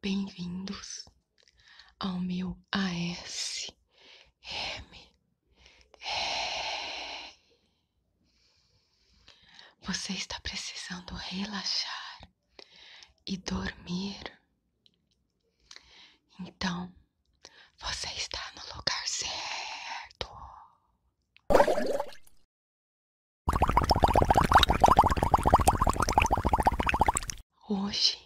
Bem-vindos ao meu ASMR. Você está precisando relaxar e dormir. Então, você está no lugar certo. Hoje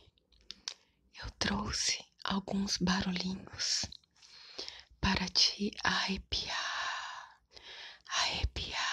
eu trouxe alguns barulhinhos para te arrepiar, arrepiar.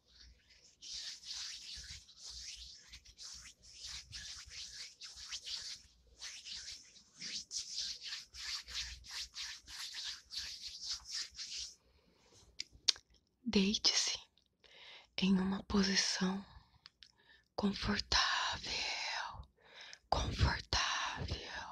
Deite-se em uma posição confortável, confortável.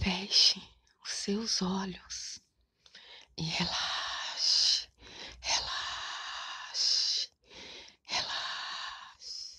Feche os seus olhos e relaxe, relaxe, relaxe.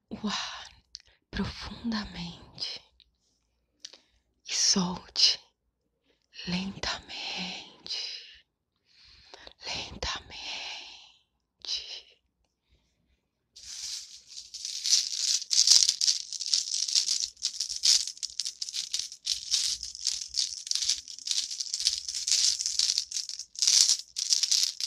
o profundamente e solte lentamente, lentamente.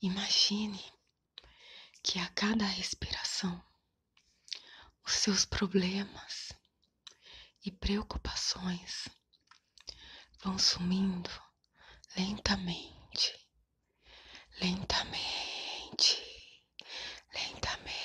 Imagine que a cada respiração os seus problemas e preocupações vão sumindo lentamente, lentamente, lentamente.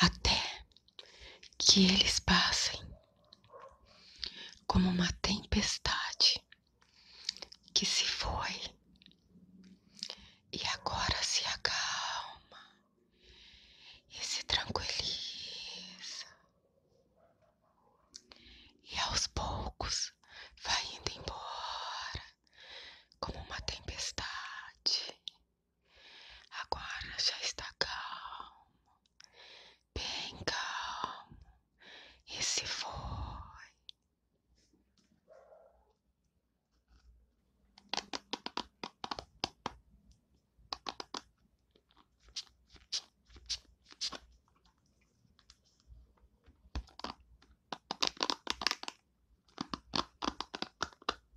Até que eles passem como uma tempestade que se foi e agora se acalma e se tranquiliza e aos poucos vai indo embora como uma tempestade. Agora já está calmo, bem calmo, e se foi.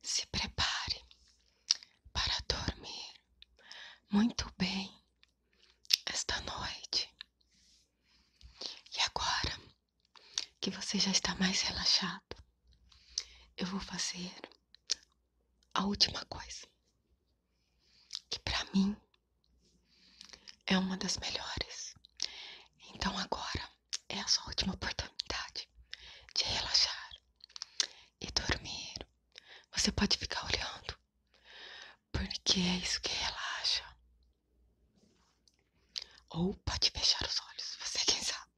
Se prepare para dormir muito bem esta noite. E agora que você já está mais relaxado, eu vou fazer a última coisa, que para mim é uma das melhores. Então agora é a sua última oportunidade de relaxar e dormir. Você pode ficar olhando porque é isso que relaxa. Ou pode fechar os olhos, você quem sabe.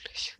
Delicious.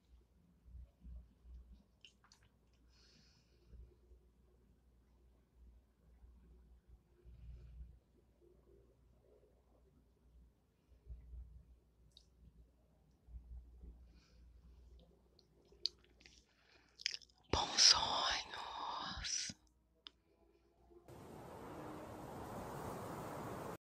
Bons sonhos.